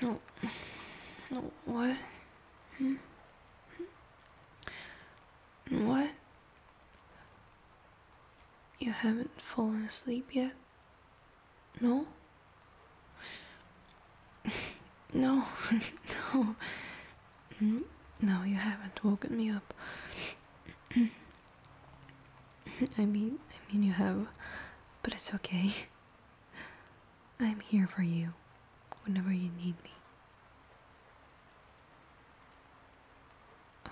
No. No, what? Hmm? hmm? What? You haven't fallen asleep yet? No? No, no. Mm, no, you haven't woken me up. I mean, I mean you have, but it's okay. I'm here for you whenever you need me.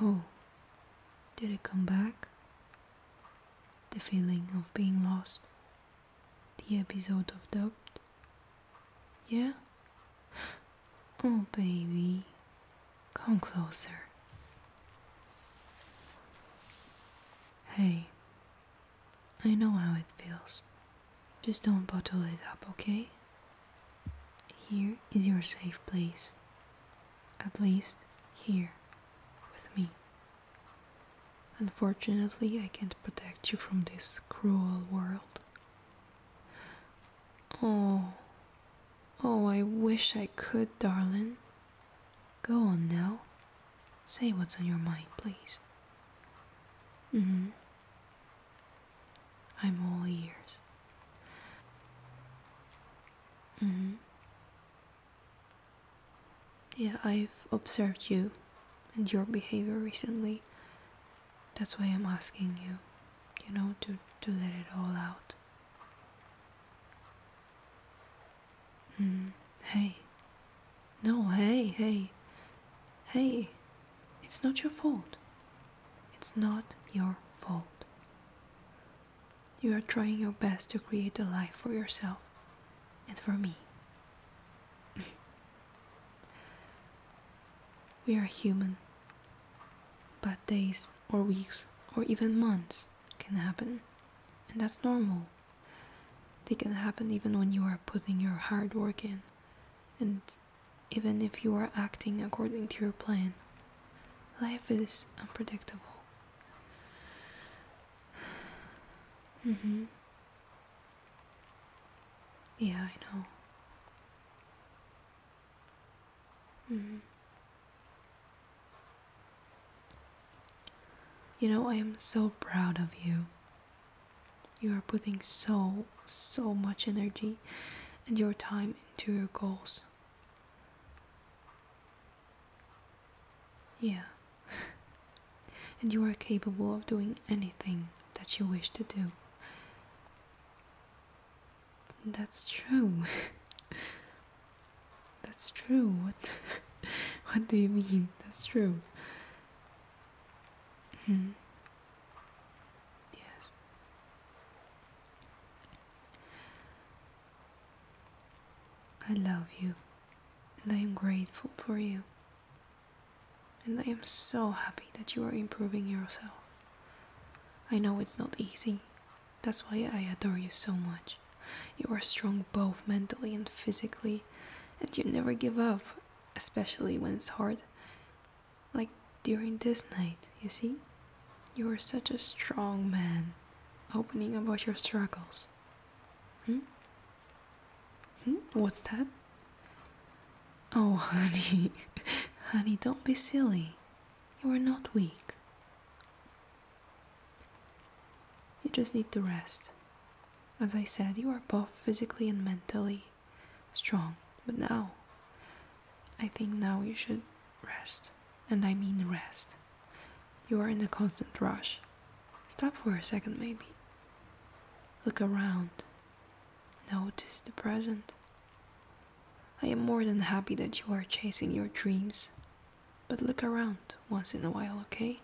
Oh, did it come back? the feeling of being lost, the episode of doubt. Yeah? Oh, baby, come closer. Hey, I know how it feels. Just don't bottle it up, okay? Here is your safe place at least here with me. Unfortunately, I can't protect you from this cruel world. Oh, oh, I wish I could, darling. Go on now. Say what's on your mind, please. Mm hmm. I'm all ears. Mm hmm. Yeah, I've observed you and your behavior recently. That's why I'm asking you, you know, to, to let it all out. Mm, hey. No, hey, hey. Hey, it's not your fault. It's not your fault. You are trying your best to create a life for yourself and for me. we are human, Bad days or weeks or even months can happen, and that's normal. They can happen even when you are putting your hard work in, and even if you are acting according to your plan Life is unpredictable. Mm hmm. Yeah, I know. Mm hmm. You know, I am so proud of you. You are putting so, so much energy and your time into your goals. Yeah. and you are capable of doing anything that you wish to do. That's true. That's true. What What do you mean? That's true. Hmm. Yes. I love you and I am grateful for you. And I am so happy that you are improving yourself. I know it's not easy. That's why I adore you so much. You are strong both mentally and physically, and you never give up, especially when it's hard. Like during this night, you see? You are such a strong man, opening about your struggles. Hmm? Hmm? What's that? Oh, honey, honey, don't be silly. You are not weak. You just need to rest. As I said, you are both physically and mentally strong, but now, I think now you should rest and I mean rest. You are in a constant rush. Stop for a second, maybe. Look around. Notice the present. I am more than happy that you are chasing your dreams, but look around once in a while, okay?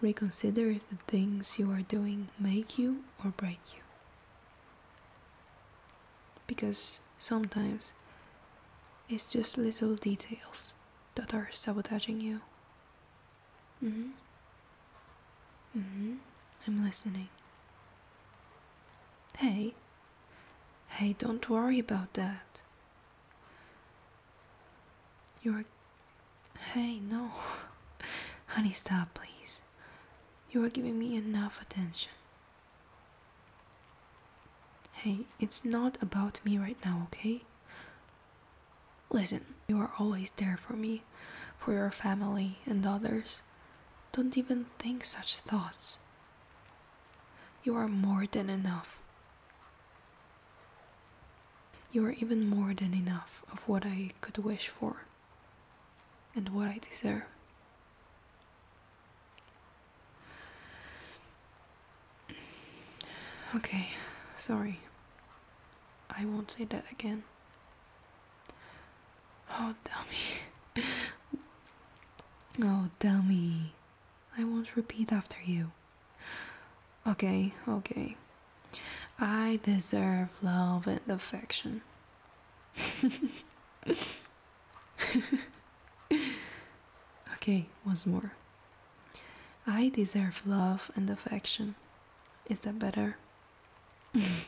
Reconsider if the things you are doing make you or break you. Because sometimes it's just little details that are sabotaging you. Mm-hmm. Mm-hmm. I'm listening. Hey. Hey, don't worry about that. You're. Hey, no. Honey, stop, please. You are giving me enough attention. Hey, it's not about me right now, okay? Listen, you are always there for me, for your family and others. Don't even think such thoughts. You are more than enough. You are even more than enough of what I could wish for and what I deserve. Okay, sorry. I won't say that again. Oh, dummy. oh, dummy. I won't repeat after you. Okay, okay. I deserve love and affection. okay, once more. I deserve love and affection. Is that better?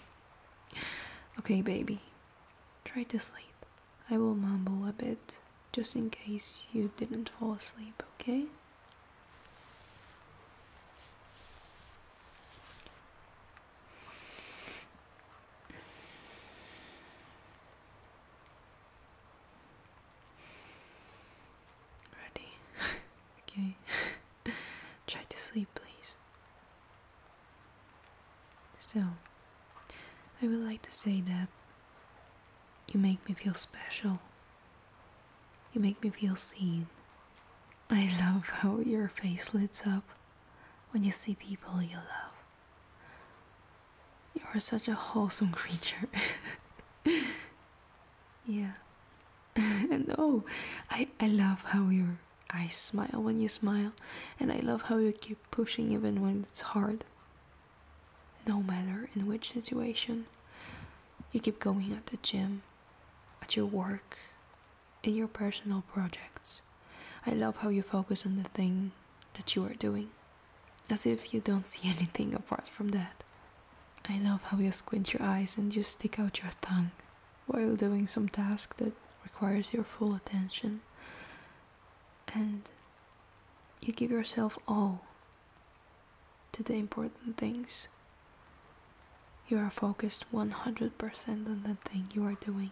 okay, baby. Try to sleep. I will mumble a bit just in case you didn't fall asleep, okay? Ready? okay. Try to sleep, please. Still, I would like to say that you make me feel special. You make me feel seen. I love how your face lights up when you see people you love. You are such a wholesome creature. yeah. and oh, I, I love how your eyes smile when you smile, and I love how you keep pushing even when it's hard. No matter in which situation, you keep going at the gym, at your work, in your personal projects. I love how you focus on the thing that you are doing, as if you don't see anything apart from that. I love how you squint your eyes and you stick out your tongue while doing some task that requires your full attention. And you give yourself all to the important things you are focused 100% on the thing you are doing.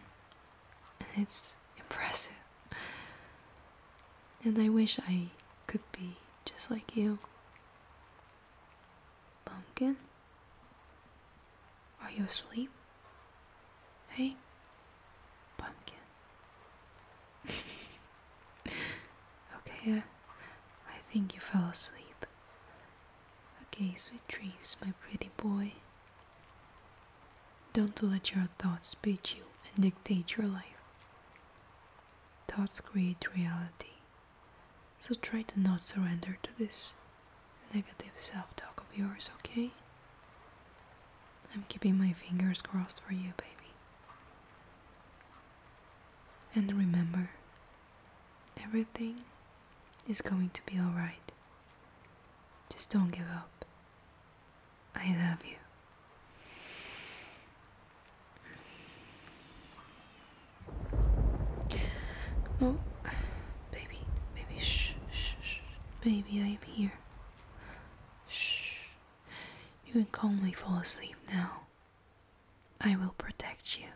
And it's impressive. And I wish I could be just like you. Pumpkin? Are you asleep? Hey? Pumpkin. okay, I, uh, I think you fell asleep. Okay, sweet dreams, my pretty boy. Don't let your thoughts beat you and dictate your life. Thoughts create reality, so try to not surrender to this negative self talk of yours, okay? I'm keeping my fingers crossed for you, baby. And remember, everything is going to be alright. Just don't give up. I love you. Oh, baby, baby, shh, shh, shh. Baby, I am here. Shh. You can calmly fall asleep now. I will protect you.